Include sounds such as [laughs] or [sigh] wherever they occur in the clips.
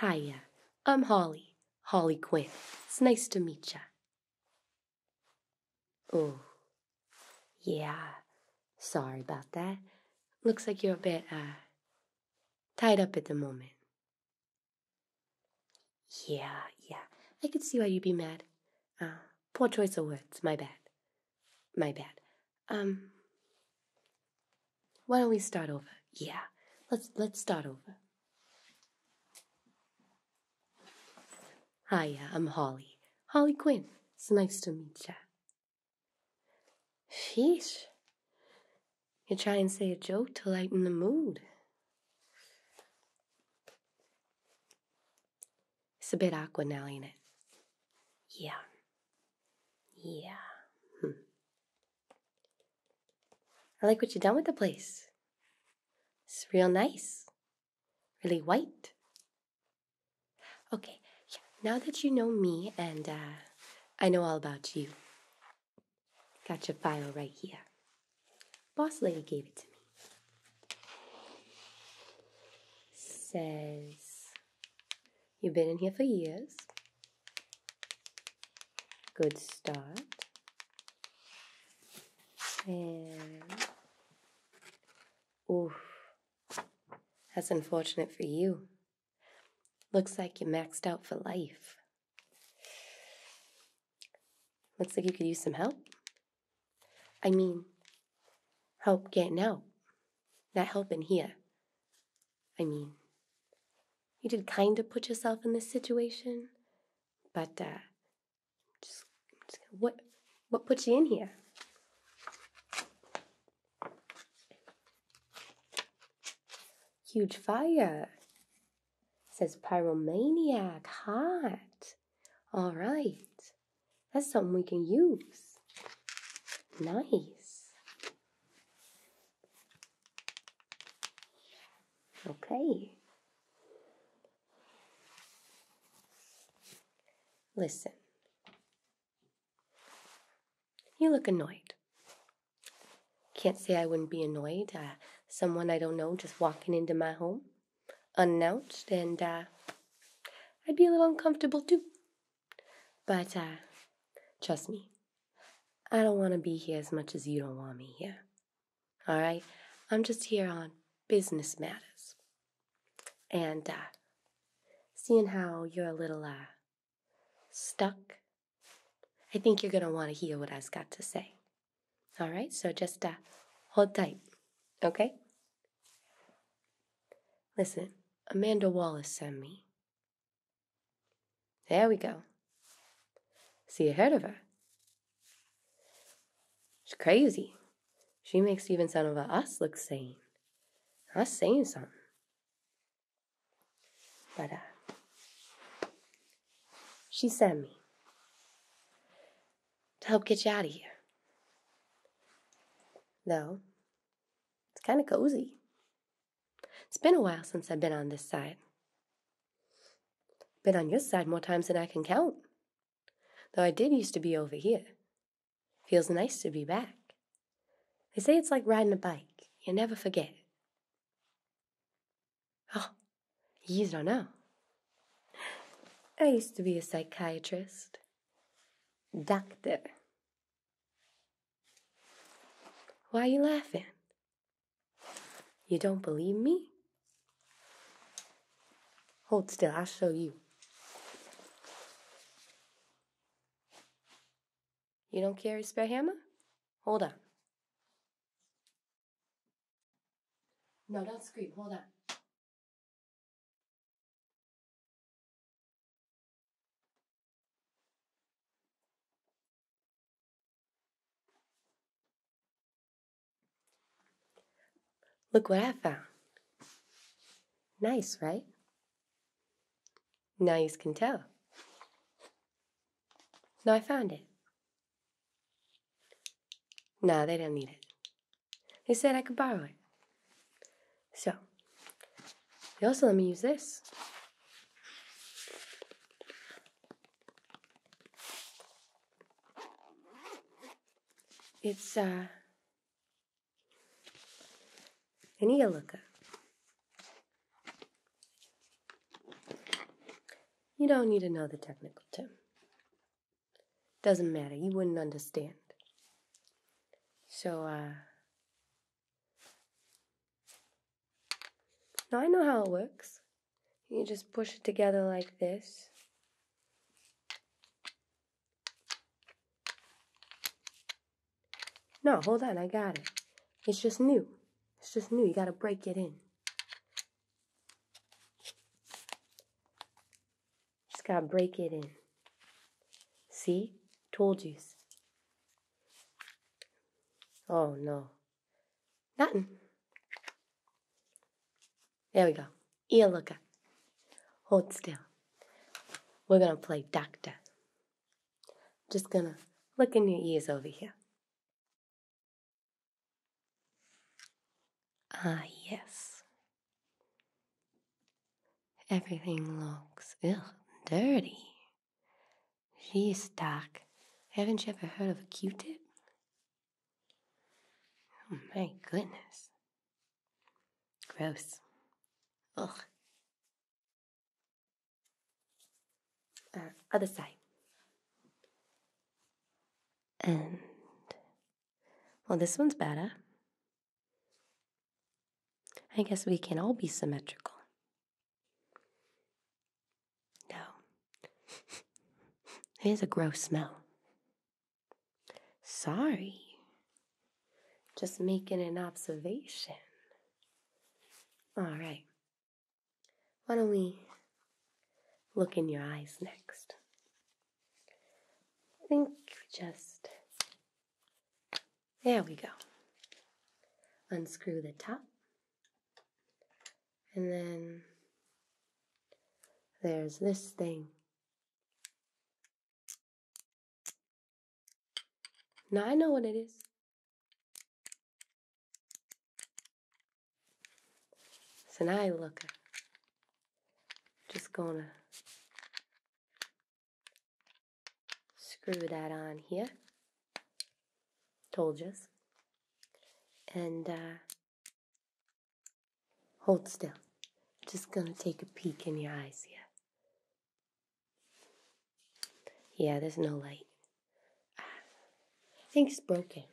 Hiya, I'm Holly, Holly Quinn. It's nice to meet ya. Oh, yeah, Sorry about that. Looks like you're a bit, uh, tied up at the moment. Yeah, yeah. I could see why you'd be mad. Uh, poor choice of words. My bad. My bad. Um, why don't we start over? Yeah, let's let's start over. Hiya, I'm Holly. Holly Quinn. It's nice to meet ya. Sheesh. You try and say a joke to lighten the mood. It's a bit awkward now, ain't it? Yeah. Yeah. Hmm. I like what you've done with the place. It's real nice. Really white. Okay, Now that you know me and uh, I know all about you, got your file right here. Boss lady gave it to me. Says, You've been in here for years. Good start. And, oh, that's unfortunate for you. Looks like you maxed out for life. Looks like you could use some help. I mean, help getting out. Not helping here. I mean, you did kind of put yourself in this situation, but uh, just, what what put you in here? Huge fire, says Pyromaniac Heart. All right, that's something we can use. Nice. Okay. Listen, you look annoyed. Can't say I wouldn't be annoyed. Uh, someone I don't know just walking into my home unannounced, and uh, I'd be a little uncomfortable too. But uh, trust me, I don't want to be here as much as you don't want me here. All right? I'm just here on business matters. And seeing how you're a little stuck, I think you're going to want to hear what I've got to say. All right, so just uh, hold tight, okay? Listen, Amanda Wallace sent me. There we go. See, you heard of her. She's crazy. She makes even some of us look sane. Us saying something. But uh, she sent me to help get you out of here. Though, it's kind of cozy. It's been a while since I've been on this side. Been on your side more times than I can count. Though I did used to be over here, Feels nice to be back. They say it's like riding a bike, you never forget. Oh, you don't know. I used to be a psychiatrist, doctor. Why are you laughing? You don't believe me? Hold still, I'll show you. You don't carry spare hammer? Hold on. No, don't scream. Hold on. Look what I found. Nice, right? Now you can tell. Now I found it. Now they don't need it. They said I could borrow it. So, they also let me use this. It's, uh, any yellow You don't need to know the technical term. Doesn't matter, you wouldn't understand. So, uh. Now I know how it works. You just push it together like this. No, hold on, I got it. It's just new. It's just new. You gotta break it in. Just gotta break it in. See? Told you. Oh no. Nothing. There we go. Here, look. Hold still. We're gonna play doctor. Just gonna look in your ears over here. Ah, yes. Everything looks ill, dirty. She's stuck. Haven't you ever heard of a Q-tip? Oh my goodness. Gross. Ugh. Uh, other side. And well, this one's better. I guess we can all be symmetrical. No. Here's [laughs] a gross smell. Sorry. Just making an observation. All right. Why don't we look in your eyes next? I think just. There we go. Unscrew the top. And then there's this thing. Now I know what it is. So now I look. Just gonna screw that on here. Told you. And uh, hold still. Just gonna take a peek in your eyes here. Yeah, there's no light. I think it's broken.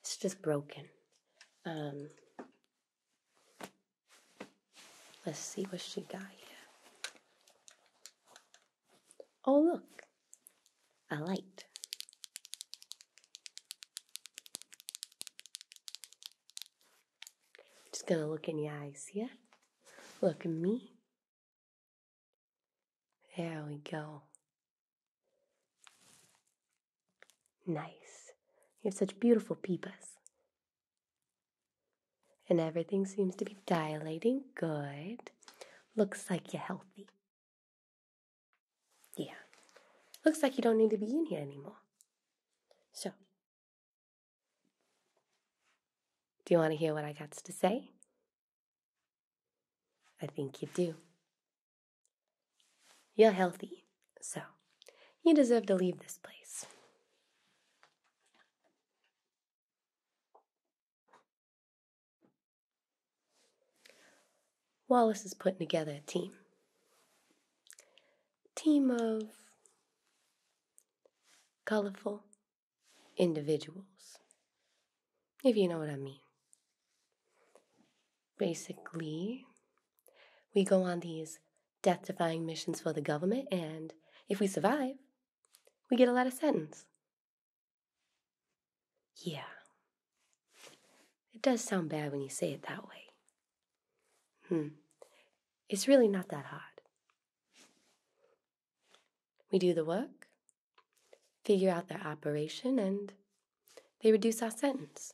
It's just broken. Um, let's see what she got here. Oh, look. A light. Just gonna look in your eyes, yeah? Look at me. There we go. Nice. You have such beautiful peepers. And everything seems to be dilating good. Looks like you're healthy. Yeah. Looks like you don't need to be in here anymore. So, do you want to hear what I got to say? I think you do. You're healthy, so you deserve to leave this place. Wallace is putting together a team. Team of colorful individuals, if you know what I mean. Basically, we go on these death defying missions for the government, and if we survive, we get a lot of sentence. Yeah. It does sound bad when you say it that way. Hmm. It's really not that hard. We do the work, figure out their operation, and they reduce our sentence.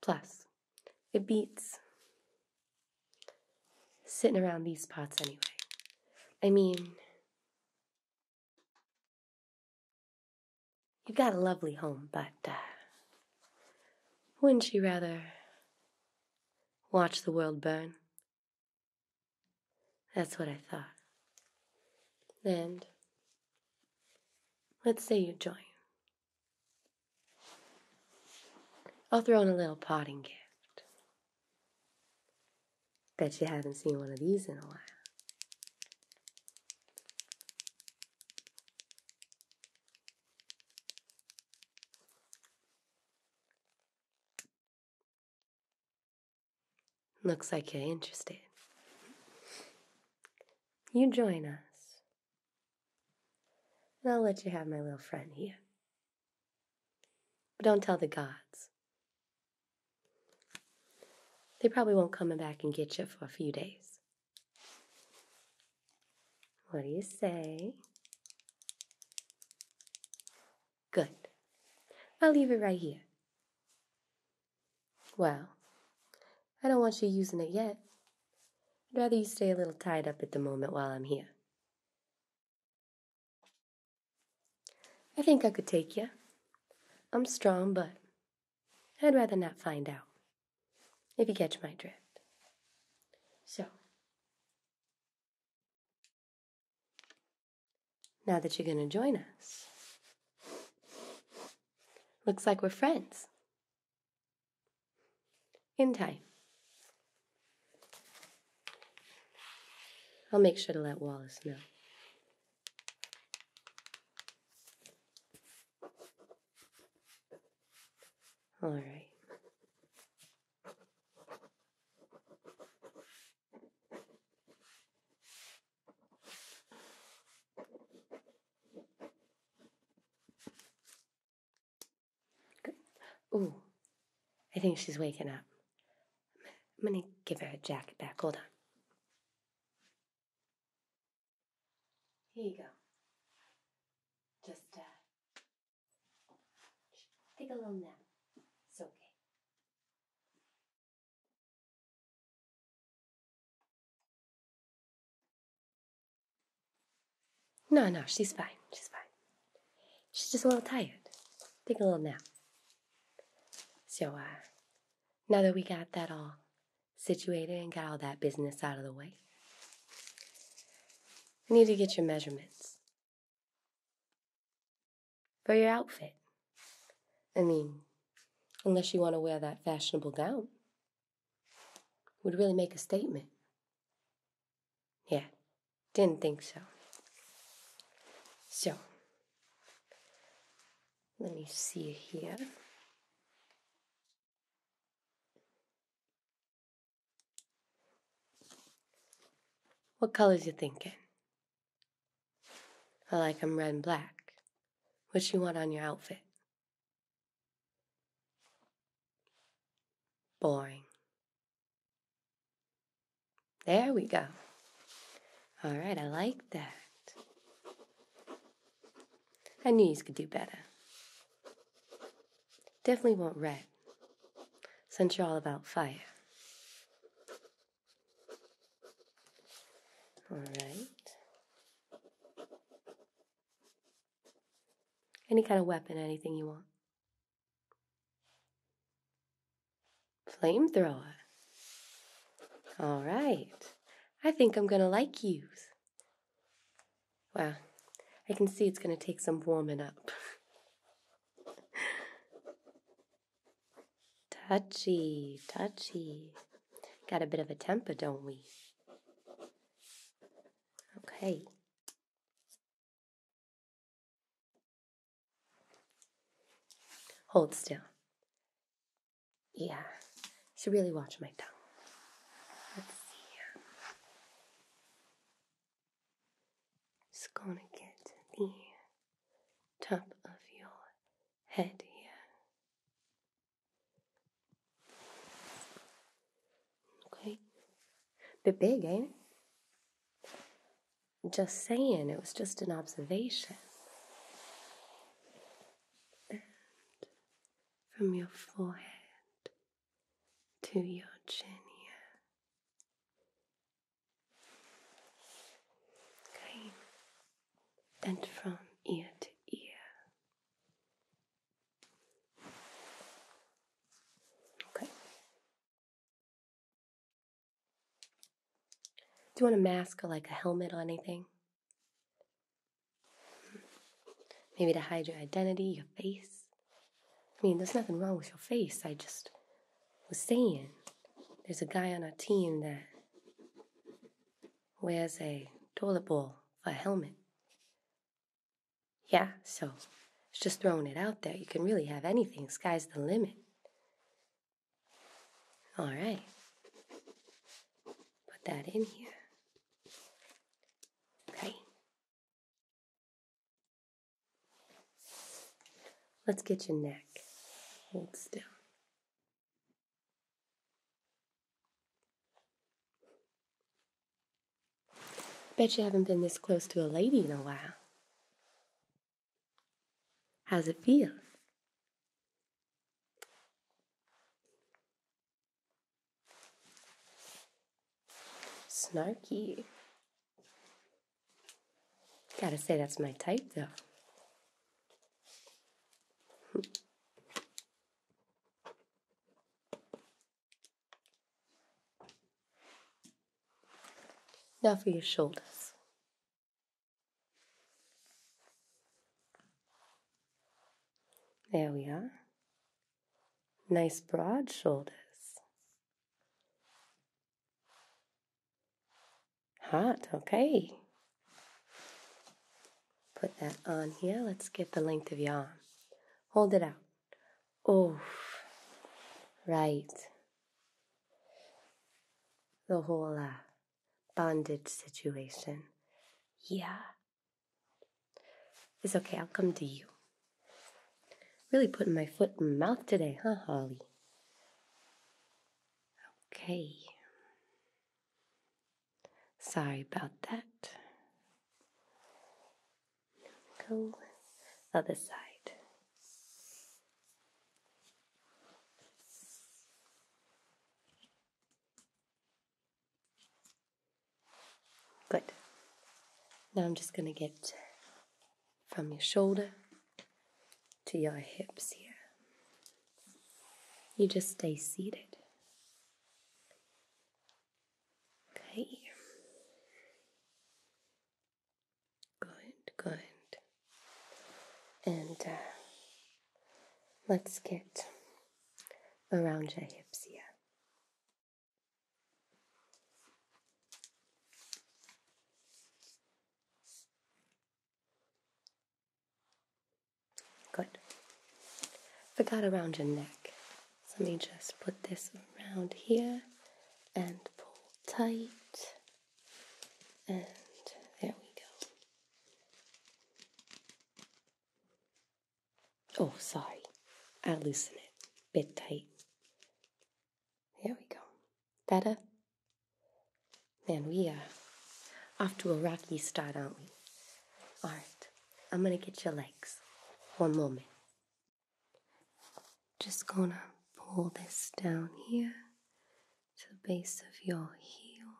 Plus, it beats sitting around these pots anyway. I mean, you've got a lovely home, but uh, wouldn't you rather watch the world burn. That's what I thought. And let's say you join. I'll throw in a little potting gift. Bet you haven't seen one of these in a while. Looks like you're interested. You join us. And I'll let you have my little friend here. But don't tell the gods. They probably won't come back and get you for a few days. What do you say? Good. I'll leave it right here. Well, I don't want you using it yet. I'd rather you stay a little tied up at the moment while I'm here. I think I could take you. I'm strong, but I'd rather not find out. If you catch my drift. So, now that you're going to join us, looks like we're friends. In time. I'll make sure to let Wallace know. All right. Good. Ooh, I think she's waking up. I'm gonna give her her jacket back. Hold on. Here you go. Just uh, Take a little nap. It's okay. No, no, she's fine. She's fine. She's just a little tired. Take a little nap. So, uh, now that we got that all situated and got all that business out of the way, need to get your measurements. For your outfit. I mean, unless you want to wear that fashionable gown. Would really make a statement. Yeah, didn't think so. So, let me see here. What colors you thinking? I like them red and black. What you want on your outfit? Boring. There we go. All right, I like that. I knew you could do better. Definitely won't red, since you're all about fire. All right. Any kind of weapon, anything you want. Flamethrower. All right. I think I'm going to like yous. Well, I can see it's going to take some warming up. [laughs] touchy, touchy. Got a bit of a temper, don't we? Okay. Hold still. Yeah, so really watch my tongue. Let's see. Just gonna get the top of your head here. Okay. Bit big, ain't it? Just saying, it was just an observation. And from your forehead to your chin here. Okay, and from ear to ear. Okay. Do you want a mask or like a helmet or anything? Hmm. Maybe to hide your identity, your face. I mean, there's nothing wrong with your face. I just was saying there's a guy on our team that wears a toilet bowl for a helmet. Yeah, so it's just throwing it out there. You can really have anything. Sky's the limit. All right. Put that in here. Okay. Let's get your neck. Hold still. Bet you haven't been this close to a lady in a while. How's it feel? Snarky. Gotta say, that's my type, though. [laughs] now for your shoulders. There we are. Nice broad shoulders. Hot, okay. Put that on here. Let's get the length of yarn. Hold it out. Oh, right. The whole uh, bondage situation. Yeah. It's okay, I'll come to you. Really putting my foot in my mouth today, huh, Holly? Okay. Sorry about that. Go other side. Good. Now I'm just going to get from your shoulder to your hips here. You just stay seated. Okay. Good, good. And uh, let's get around your hips here. Good. Forgot around your neck. So let me just put this around here and pull tight. And there we go. Oh, sorry. I loosen it. Bit tight. There we go. Better? Man, we are uh, off to a rocky start, aren't we? All right, I'm gonna get your legs. One moment. Just gonna pull this down here to the base of your heel.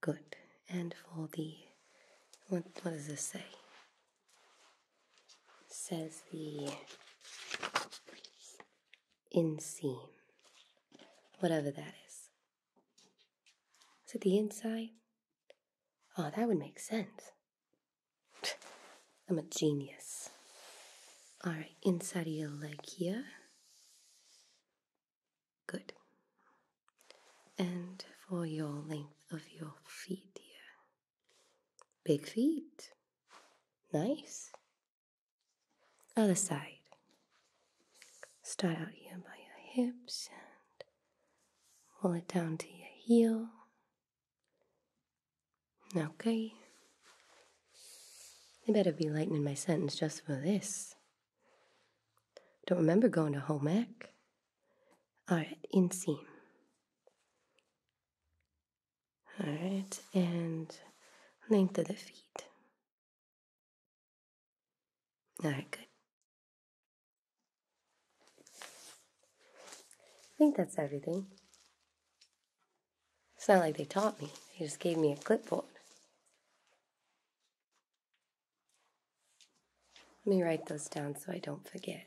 Good. And for the, what, what does this say? says the inseam, whatever that is. Is it the inside? Oh, that would make sense. [laughs] I'm a genius. All right, inside of your leg here. Good. And for your length of your feet here. Big feet. Nice. Other side. Start out here by your hips and pull it down to your heel. Okay. They better be lightening my sentence just for this. Don't remember going to home Alright, inseam. Alright, and length of the feet. Alright, good. I think that's everything. It's not like they taught me, they just gave me a clipboard. Let me write those down so I don't forget.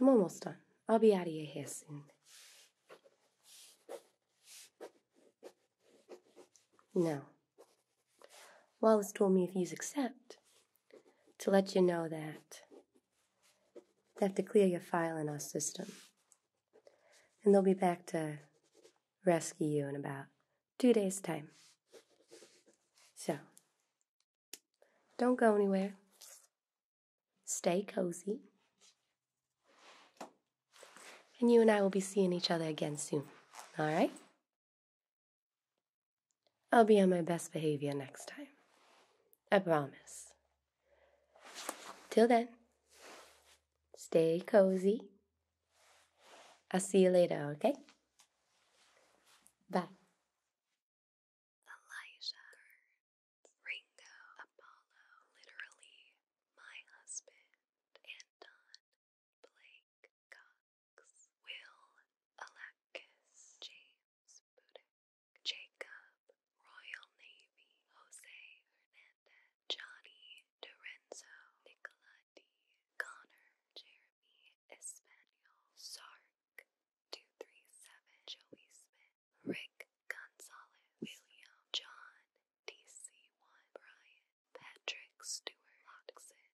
I'm almost done. I'll be out of your hair soon. No. Wallace told me if you accept, to let you know that they have to clear your file in our system. And they'll be back to rescue you in about two days' time. So, don't go anywhere. Stay cozy. And you and I will be seeing each other again soon. All right? I'll be on my best behavior next time. I promise. Till then, stay cozy. I'll see you later, okay? Bye. Blake Cox, Will Alakis, James Budick, Jacob Royal Navy, Jose Hernandez, Johnny Dorenzo, Nicola D. Connor, Jeremy Espanol, Sark 237, Joey Smith, Rick Gonzalez, William, John DC1, Brian, Patrick Stewart, Loxon,